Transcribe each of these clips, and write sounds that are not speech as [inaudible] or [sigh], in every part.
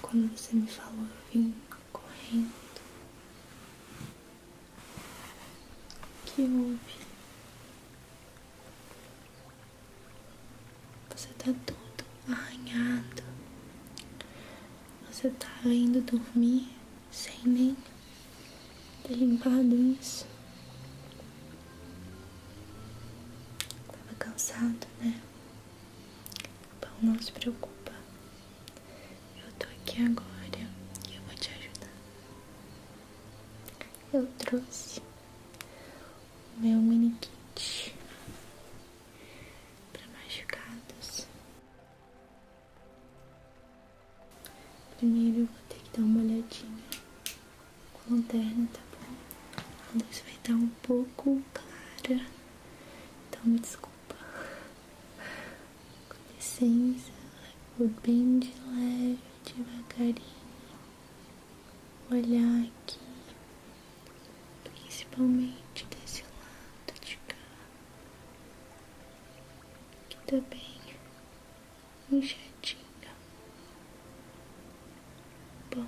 Quando você me falou, eu vim correndo. O que houve? Você tá todo arranhado. Você tá indo dormir sem nem ter limpado isso. Tava cansado, né? Bom, não se preocupa. Eu tô aqui agora e eu vou te ajudar. Eu trouxe o meu mini kit para machucados. Primeiro eu vou ter que dar uma olhadinha com a lanterna, tá bom? A luz vai estar um pouco clara, então me desculpa. Com licença, vou bem de leve, devagarinho, olhar aqui, principalmente desse lado de cá, que tá bem Bom,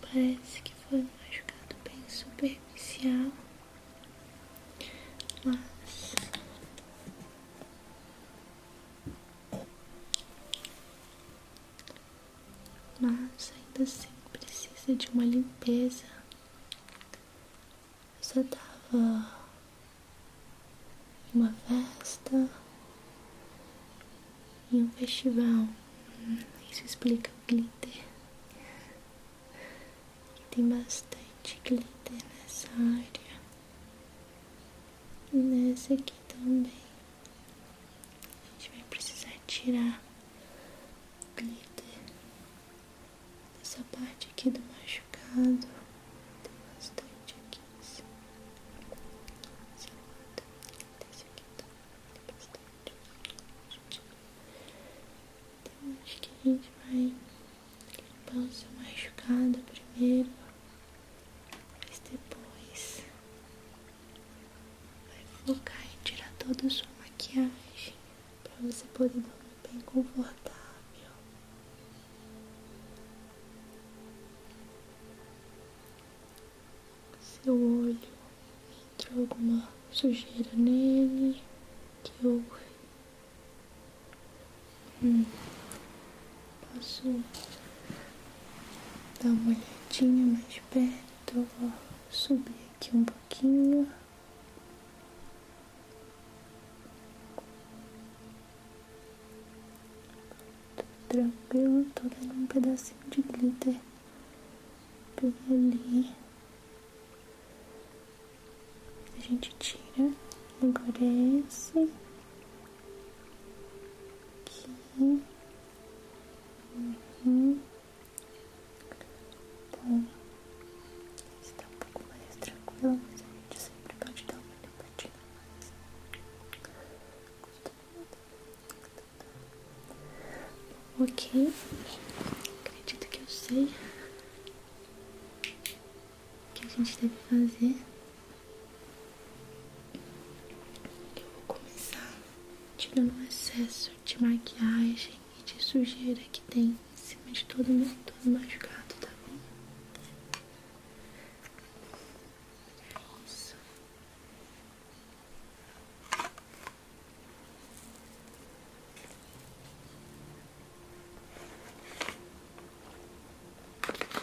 parece que foi um machucado bem superficial, mas mas ainda assim precisa de uma limpeza. só tava em uma festa em um festival. Hum, isso explica o glitter. tem bastante glitter nessa área. E nessa aqui também. A gente vai precisar tirar o glitter dessa parte aqui do machucado. Tem bastante aqui. Então acho que a gente vai limpar o seu machucado primeiro, mas depois vai focar em tirar toda a sua maquiagem para você poder dormir bem confortável seu olho entrou alguma sujeira nele, que eu hum, Posso dar uma olhadinha mais perto, subir aqui um pouquinho tranquilo, tô dando um pedacinho de glitter. Peguei ali. A gente tira, endurece. Aqui. Uhum. Bom. Está um pouco mais tranquilo, mas a gente sempre pode dar uma limpadinha mais. Gostou? Ok, acredito que eu sei o que a gente deve fazer. Eu vou começar tirando o excesso de maquiagem e de sujeira que tem em cima de todo mundo todo machucado, tá bom? É isso.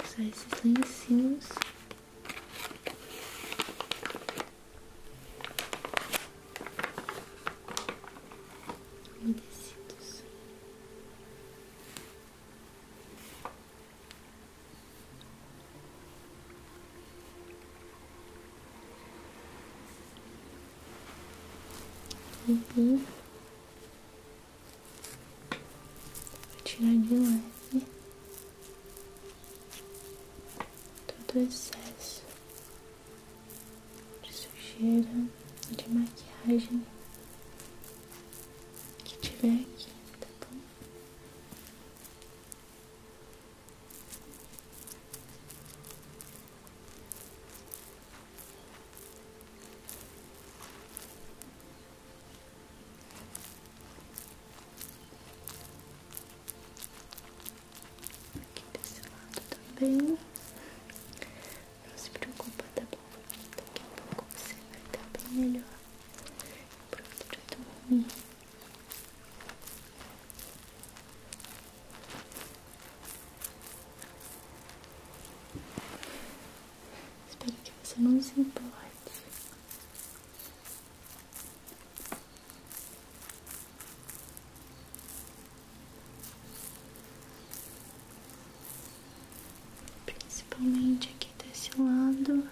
Usar esses lencinhos. umedecidos. Uhum. tirar de leve né? todo o excesso de sujeira e de maquiagem que tiver aqui, tá bom? Aqui desse lado também. Não se preocupa, tá bom? Daqui a pouco você vai estar bem melhor. Pronto, já tomou Espero que você não se importe. Principalmente aqui desse lado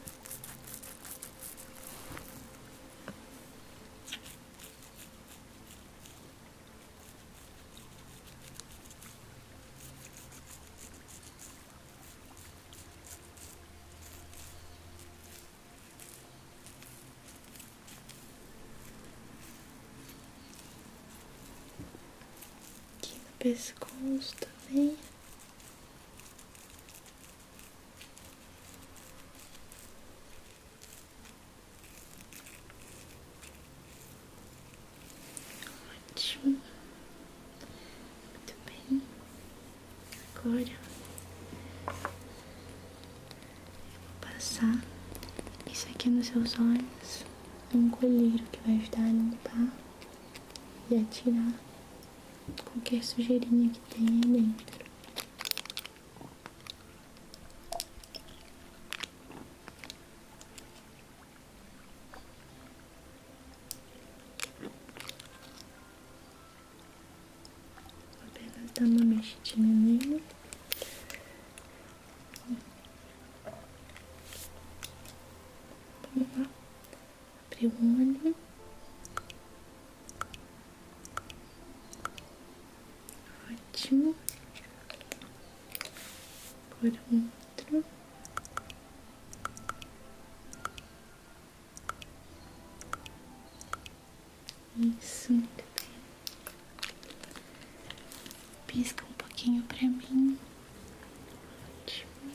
Aqui no pescoço também. Ótimo. Muito bem. Agora eu vou passar isso aqui nos seus olhos. um colírio que vai ajudar a limpar e a tirar qualquer sujeirinha que tenha aí dentro. Vou apenas dar uma mexidinha nele. Vamos lá. Abre o olho. Ótimo. Por outro. Isso, muito Pisca um pouquinho pra mim. Ótimo.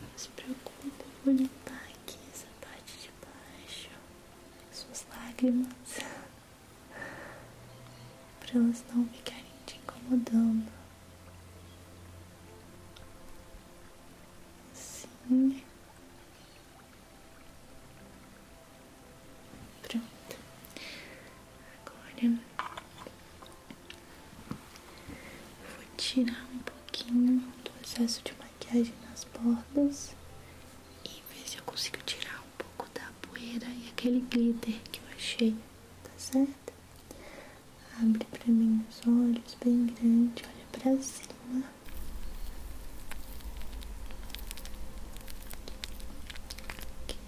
Não se preocupe, vou limpar aqui essa parte de baixo, suas lágrimas, [laughs] para elas não ficarem te incomodando. Assim. Pronto. Agora Vou tirar um pouquinho do excesso de maquiagem nas bordas e ver se eu consigo tirar um pouco da poeira e aquele glitter que eu achei, tá certo? Abre pra mim os olhos bem grande, olha pra cima. Okay.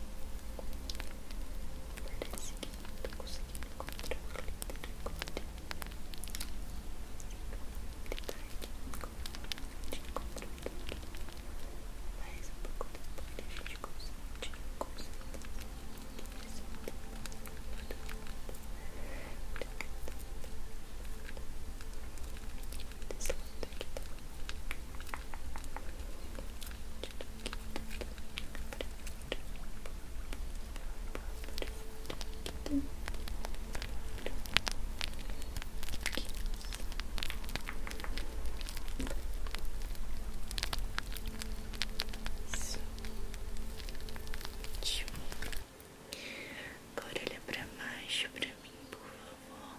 Parece que não tô conseguindo encontrar o glitter agora. Mas um pouco depois a gente consegue Aqui, tá? Agora olha para baixo para mim, por favor.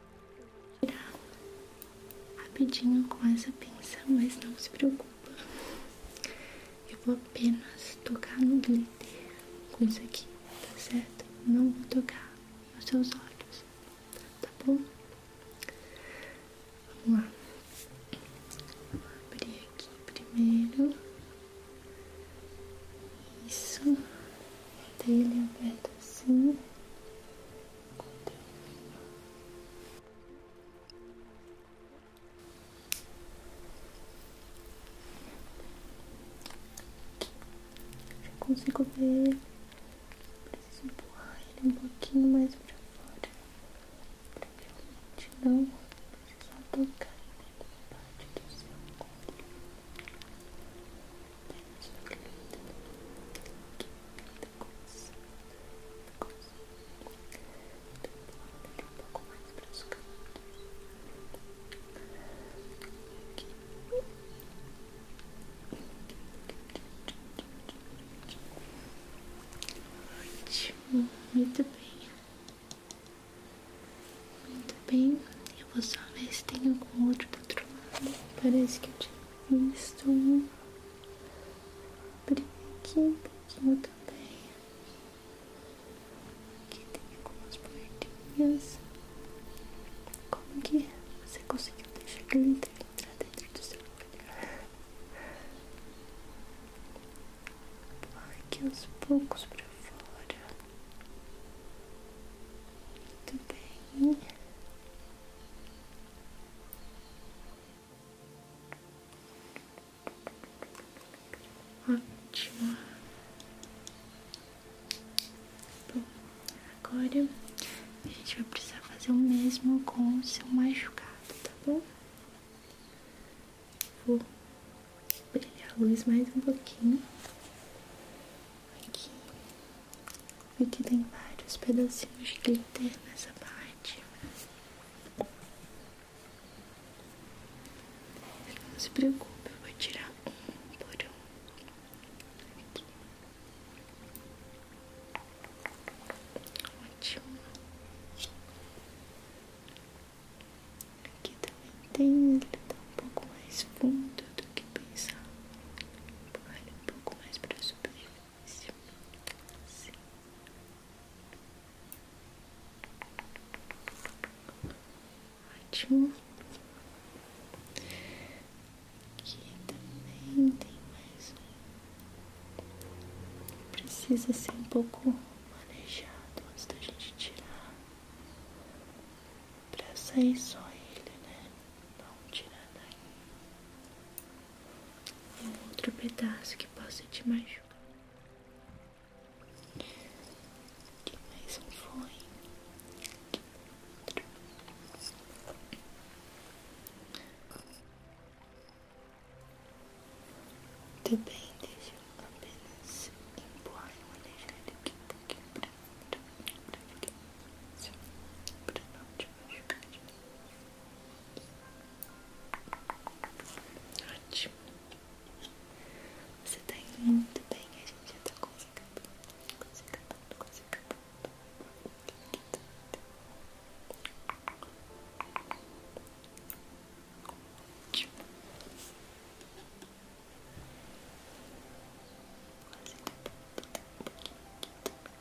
tirar rapidinho com essa pinça, mas não se preocupa. Eu vou apenas tocar no glitter com isso aqui, tá certo? Não vou tocar nos seus olhos, tá bom? Vamos lá. Vou abrir aqui primeiro. Isso. Dei ele aberto assim com Deus. Já consigo ver. Preciso empurrar ele um pouquinho mais pra fora. Pra realmente não precisar tocar nenhuma parte do seu corpo. Olha só que lindo. Que lindo coisa, muita coisa. Então, um pouco mais para os cantos. Aqui. Ótimo, muito bem. Muito bem, eu vou só ver se tem algum outro do outro lado. Parece que eu tinha um. Aqui abrir aqui um pouquinho também. Aqui tem algumas bordinhas. Como que é? você conseguiu deixar glitter entrar dentro do seu olho? Aqui aos poucos pra fora. Muito bem. Ótimo. Bom, agora a gente vai precisar fazer o mesmo com o seu machucado, tá bom? Vou brilhar a luz mais um pouquinho aqui Vi tem vários pedacinhos de glitter nessa parte. Não se preocupe, eu vou tirar por um. Aqui. Ótimo. Aqui também tem, ele tá um pouco mais fundo do que pensava. Olha um pouco mais pra subir. Sim. Sim. Ótimo. Aqui também tem mais um. Precisa ser um pouco manejado antes da gente tirar. Pra sair só ele, né? Não tirar daí um outro pedaço que possa te machucar. Aqui mais um foi. tudo bem, deixa eu apenas empurrar e manejar daqui um pouquinho pra, pra, não te machucar Ótimo. Você tá indo muito bem, a gente já tá quase acabando, quase acabando, quase acabando. Ótimo. Quase acabando, tá um pouquinho aqui também.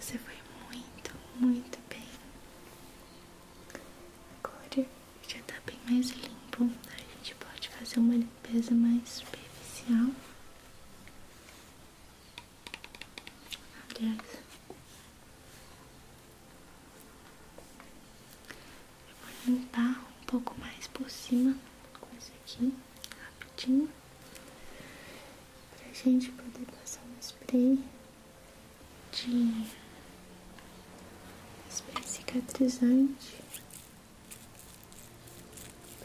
Você foi muito, muito bem. Agora já tá bem mais limpo. A gente pode fazer uma limpeza mais superficial. Aliás, eu vou limpar um pouco mais por cima com isso aqui, rapidinho, pra gente poder passar um spray de spray cicatrizante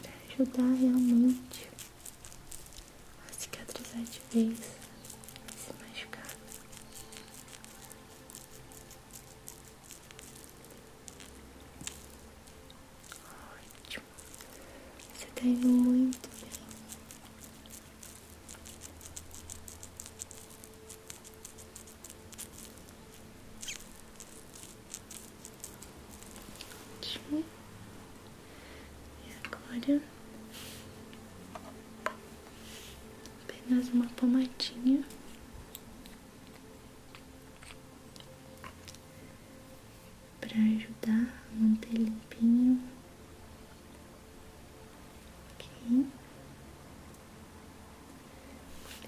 para ajudar realmente a cicatrizar de vez, se machucar. Ótimo, você tá indo muito bem. Ótimo. E agora, apenas uma pomadinha. Para ajudar a manter limpinho, ok?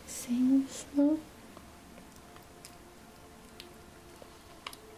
Sem isso,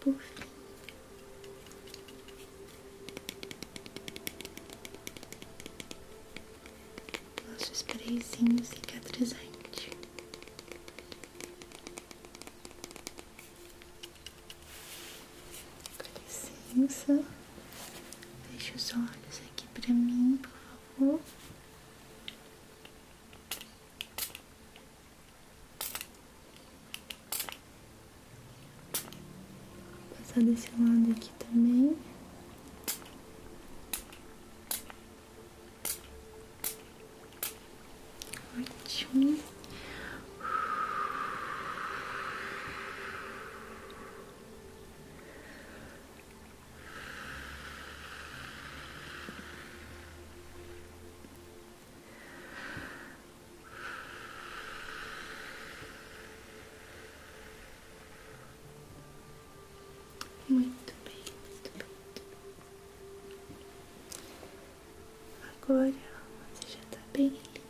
Por fim. Nosso sprayzinho cicatrizante. Com licença. Deixa os olhos aqui pra mim, por favor. Vou passar desse lado aqui também. Ótimo. Muito bem, muito bem. Agora você já está bem limpo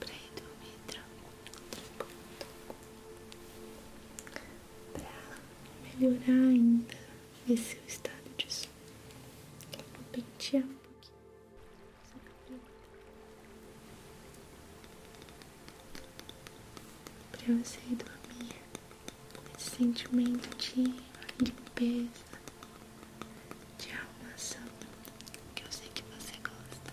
pra ir dormir tranquilo para melhorar ainda esse seu estado de sono. Vou pentear um pouquinho para você dormir esse sentimento de limpeza, de arrumação que eu sei que você gosta.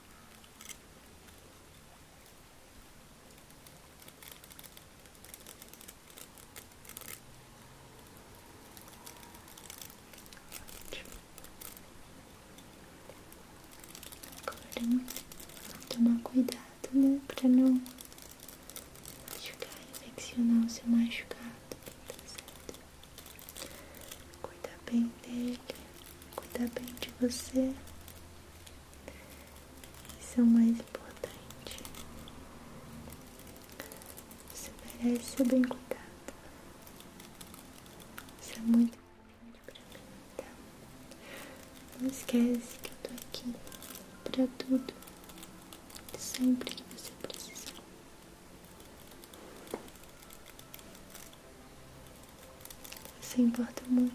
Agora, tomar cuidado, né? Pra não machucar, infeccionar o seu machucado, tá Cuida bem dele, cuida bem de você. Isso é o mais importante. Você merece ser bem cuidado. Isso é muito importante pra mim, tá? Não esquece que eu tô aqui pra tudo. Sempre que você precisar. Se importa muito.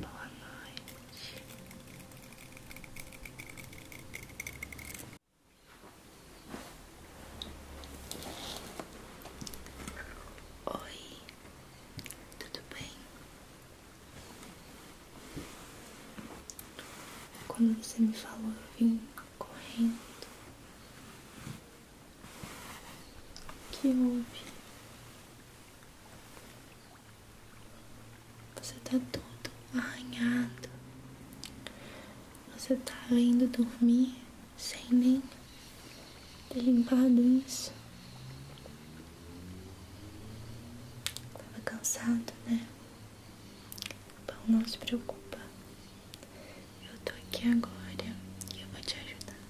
boa noite. Oi, tudo bem? Quando você me falou, eu vim correndo. Que houve? Você tá todo arranhado. Você tá indo dormir sem nem ter limpado isso. Tava cansado, né? Bom, não se preocupa. Eu tô aqui agora e eu vou te ajudar.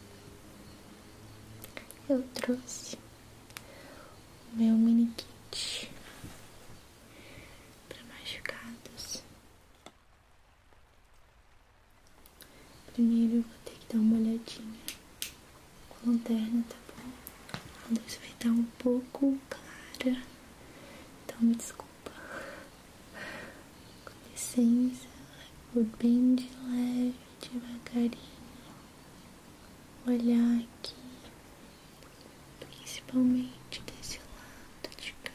Eu trouxe o meu mini kit para machucados. Primeiro eu vou ter que dar uma olhadinha com a lanterna, tá bom? A luz vai estar um pouco clara, então me desculpa. Com licença, vou bem de leve, devagarinho, olhar aqui principalmente desse lado de cá,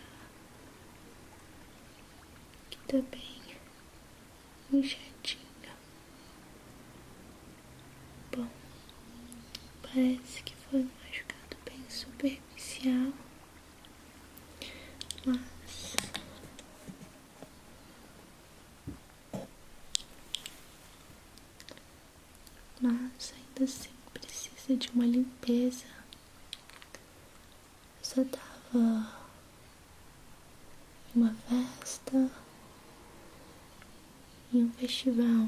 que tá bem inchadinho. Bom, parece que foi um machucado bem superficial, mas mas ainda assim precisa de uma limpeza. só tava em uma festa, em um festival.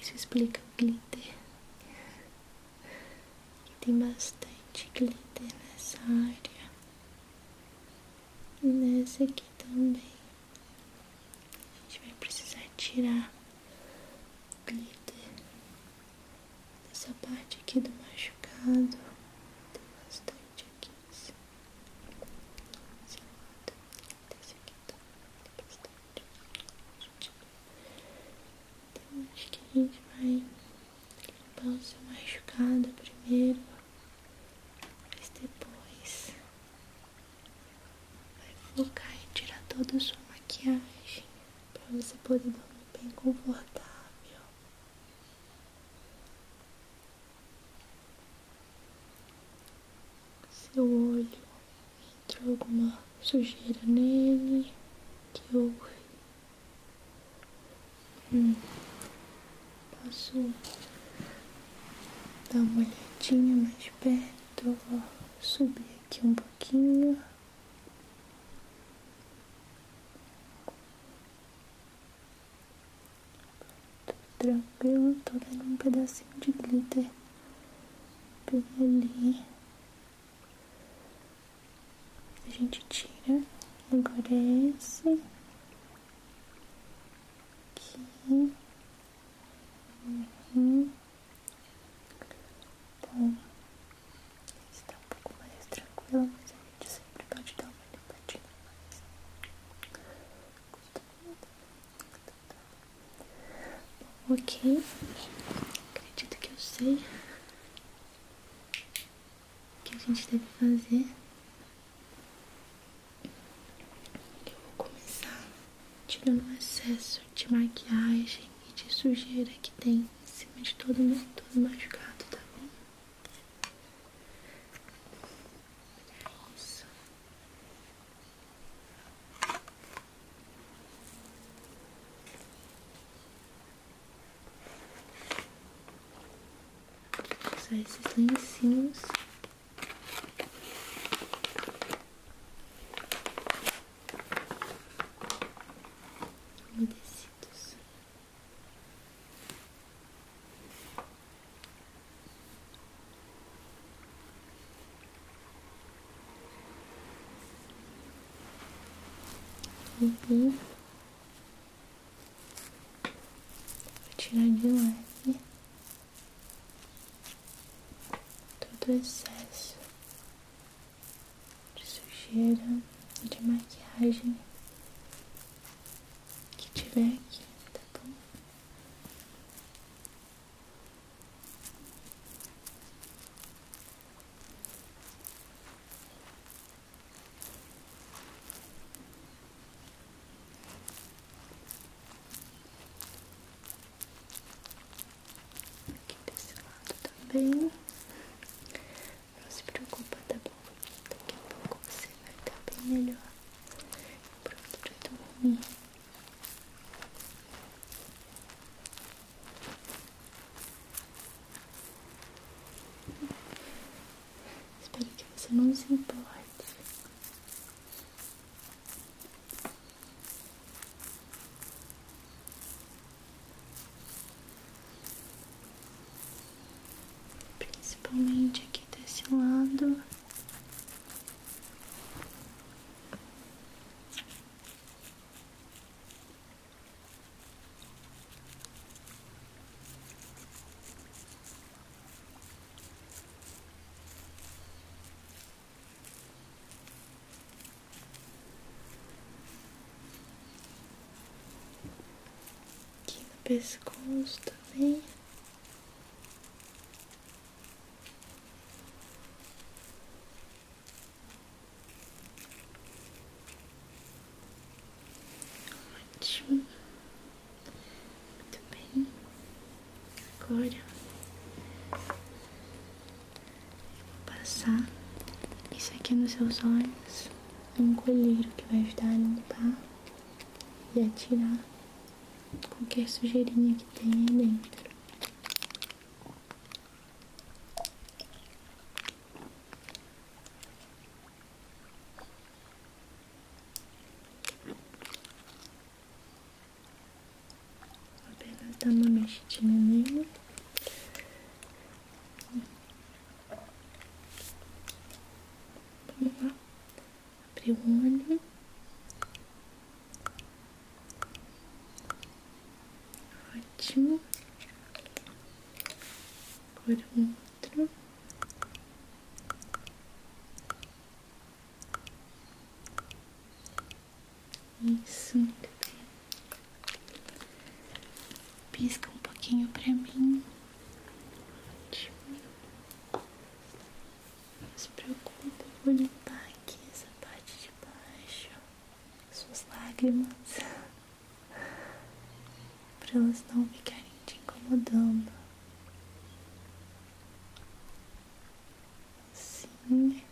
Isso explica o glitter. tem bastante glitter nessa área. E nessa aqui também. A gente vai precisar tirar o glitter dessa parte aqui do machucado. Tem bastante aqui nesse lado. Desse aqui também tá, bastante. Então acho que a gente vai limpar o seu machucado primeiro. Mas depois Vai focar em tirar toda a sua maquiagem para você poder dormir bem confortável. Seu olho entrou alguma sujeira nele que eu hum. posso Dá uma olhadinha mais perto, ó. Subir aqui um pouquinho. Tô tranquilo, tô dando um pedacinho de glitter bem ali. A gente tira, agora é esse aqui. Uhum. Bom, está um pouco mais tranquilo, mas a gente sempre pode dar uma limpadinha mais. Bom, ok. Acredito que eu sei o que a gente deve fazer. Eu vou começar tirando o excesso de maquiagem e de sujeira que tem em cima de todo mundo, todo machucado, tá bom? Olha isso. Vou usar esses lencinhos umedecidos. Uhum. Vou tirar de leve todo excesso de sujeira e de maquiagem que tiver aqui, tá bom? Aqui desse lado também. Não se preocupa, tá bom? Daqui a pouco você vai estar tá bem melhor. Pronto tudo dormir. Espero que você não se importe principalmente aqui desse lado. Aqui no pescoço também. Ótimo. Muito bem. Agora eu vou passar isso aqui nos seus olhos. É um colírio que vai ajudar a limpar e a tirar qualquer sujeirinha que tem aí dentro apenas dá tá uma mexidinha nele. Vamos lá. Abrir o olho. Ótimo. Agora o outro. Isso, Pisca um pouquinho pra mim. Ótimo. Não se preocupe, vou limpar aqui essa parte de baixo. Suas lágrimas. pra elas não ficarem te incomodando. Assim.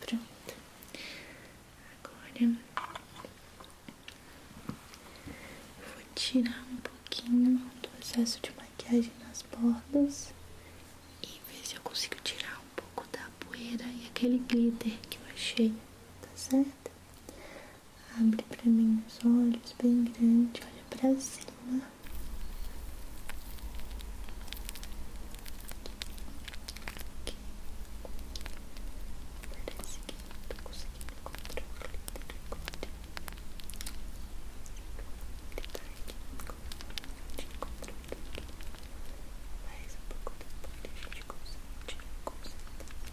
Pronto. Agora vou tirar um pouquinho do excesso de maquiagem nas bordas e ver se eu consigo tirar um pouco da poeira e aquele glitter que eu achei, tá certo? Abre para mim os olhos bem grande, olha para cima. Aqui. Parece que não tô conseguindo encontrar o glitter agora. Ele tá aqui, a gente encontrou tudo. Mas um pouco depois a gente consegue tirar,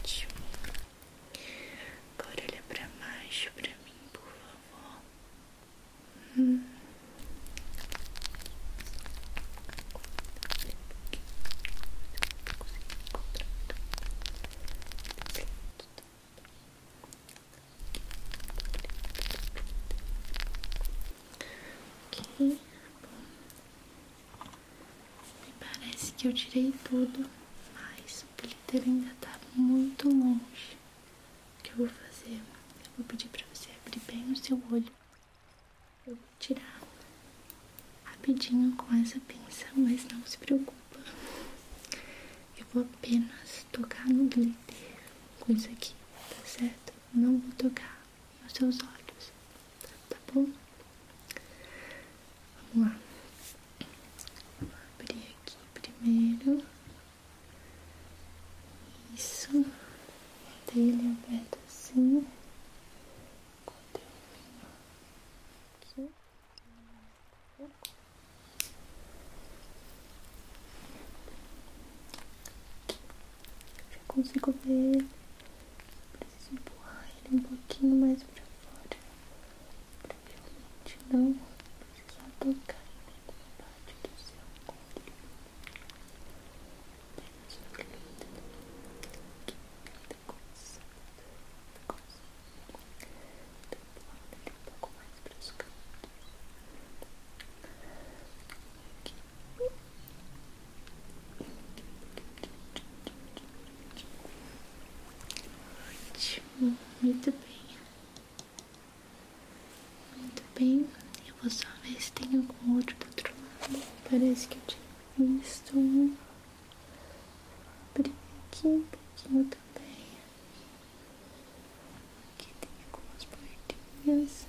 Ótimo. Agora olha pra baixo pra mim, por favor. Hum. Ok, bom. Me parece que eu tirei tudo, mas o glitter ainda tá muito longe. O que eu vou fazer? Eu vou pedir pra você abrir bem o seu olho. Eu vou tirar rapidinho com essa pinça, mas não se preocupa. Eu vou apenas tocar no glitter com isso aqui, tá certo? Não vou tocar nos seus olhos, tá bom? Vamos lá. Vou abrir aqui primeiro. Isso. Manter ele aberto assim. Enquanto eu venho aqui. Já consigo ver Preciso empurrar ele um pouquinho mais para fora. Pra realmente não só tocar em nenhuma parte do seu corpo. Apenas o lindo. Que linda coisa. Linda coisa. Tô empurrando um pouco mais pros cantos. Aqui. aqui, aqui. Ótimo, muito bem. Muito bem, eu vou só ver se tem algum outro do outro lado. Parece que eu tinha visto um. Abri aqui um pouquinho também. Aqui tem algumas bordinhas.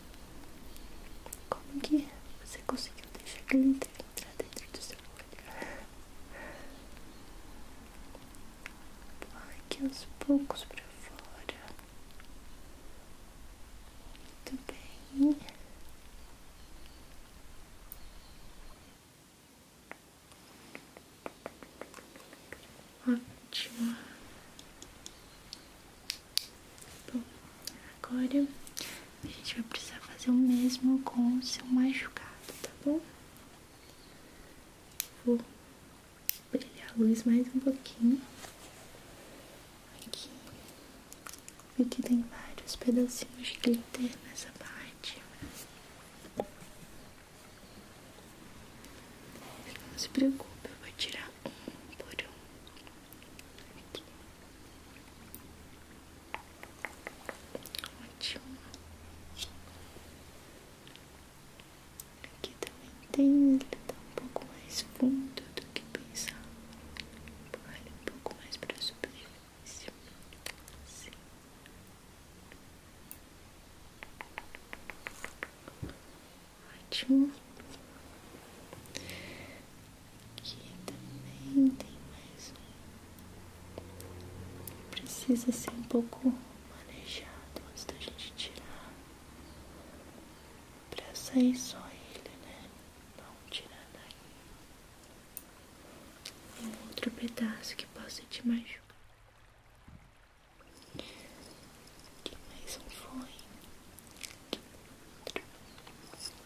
Como que é? você conseguiu deixar glitter? pra dentro do seu olho. Coloque aos poucos para fora. Muito bem. Ótimo. Bom, agora a gente vai precisar fazer o mesmo com o seu machucado, tá bom? Vou brilhar a luz mais um pouquinho. Aqui. Vi que tem vários pedacinhos de glitter nessa parte. Não se preocupe, eu vou tirar um por um. Aqui. Ótimo. Aqui também tem, ele tá um pouco mais fundo do que pensava. Olha um pouco mais pra superfície. Assim. Ótimo. Aqui também tem mais um. Precisa ser um pouco manejado antes da gente tirar. Pra sair só ele, né? Não tirar daí. Um outro pedaço que possa te machucar. Aqui mais um foi. Aqui outro.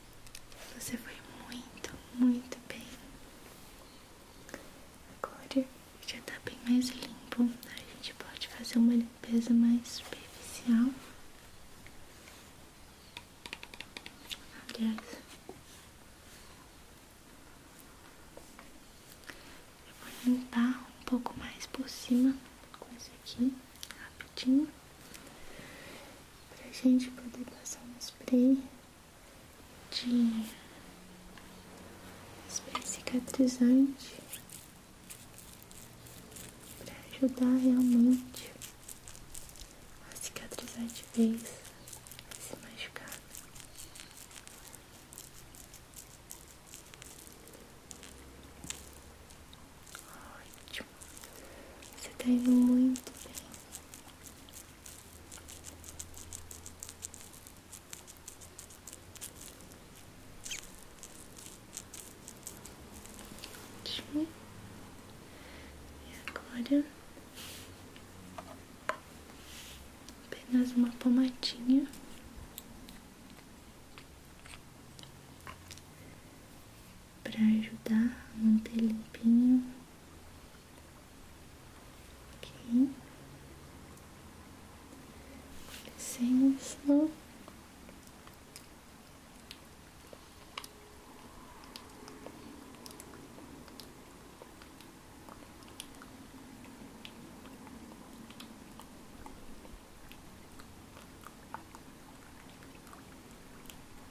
Você foi muito, muito bem. Agora já tá bem mais limpo. A gente pode fazer uma limpeza mais superficial. Aliás, eu vou limpar um pouco mais por cima com isso aqui, rapidinho, pra gente poder passar um spray de spray cicatrizante para ajudar realmente a cicatrizar de vez esse machucado. Ótimo, você tá indo muito bem. Ótimo. agora apenas uma pomadinha. Para ajudar a manter limpinho Ok. Com licença.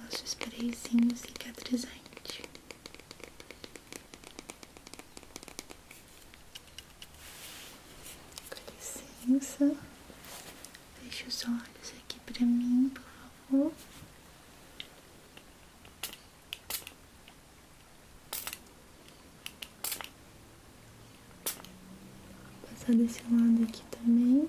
nosso sprayzinho cicatrizante. Com licença, deixa os olhos aqui pra mim, por favor. Vou passar desse lado aqui também.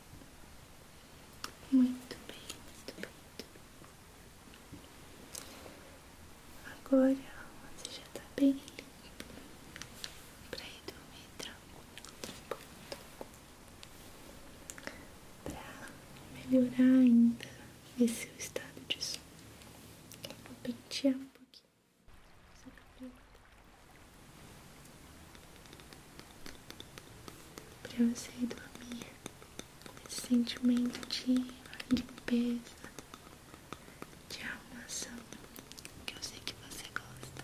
Muito bem, muito bem. Agora você já tá bem limpo pra ir dormir tranquilo, tá pra melhorar ainda esse seu estado de sono. Vou pentear um pouquinho seu cabelo. Pra você dormir esse sentimento de limpeza, de arrumação que eu sei que você gosta.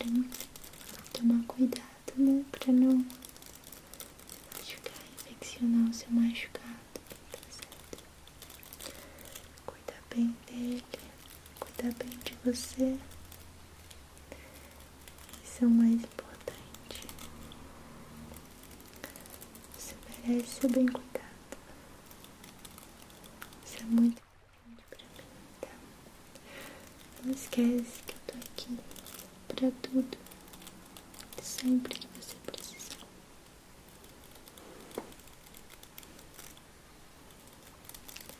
Agora, tomar cuidado, né? Pra não machucar, infeccionar o seu machucado, tá Cuidar bem dele, cuidar bem de você. Isso é o mais importante. Você merece ser bem cuidado. Isso é muito Tá. Não esquece que eu tô aqui pra tudo, sempre que você precisar.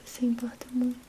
Você importa muito.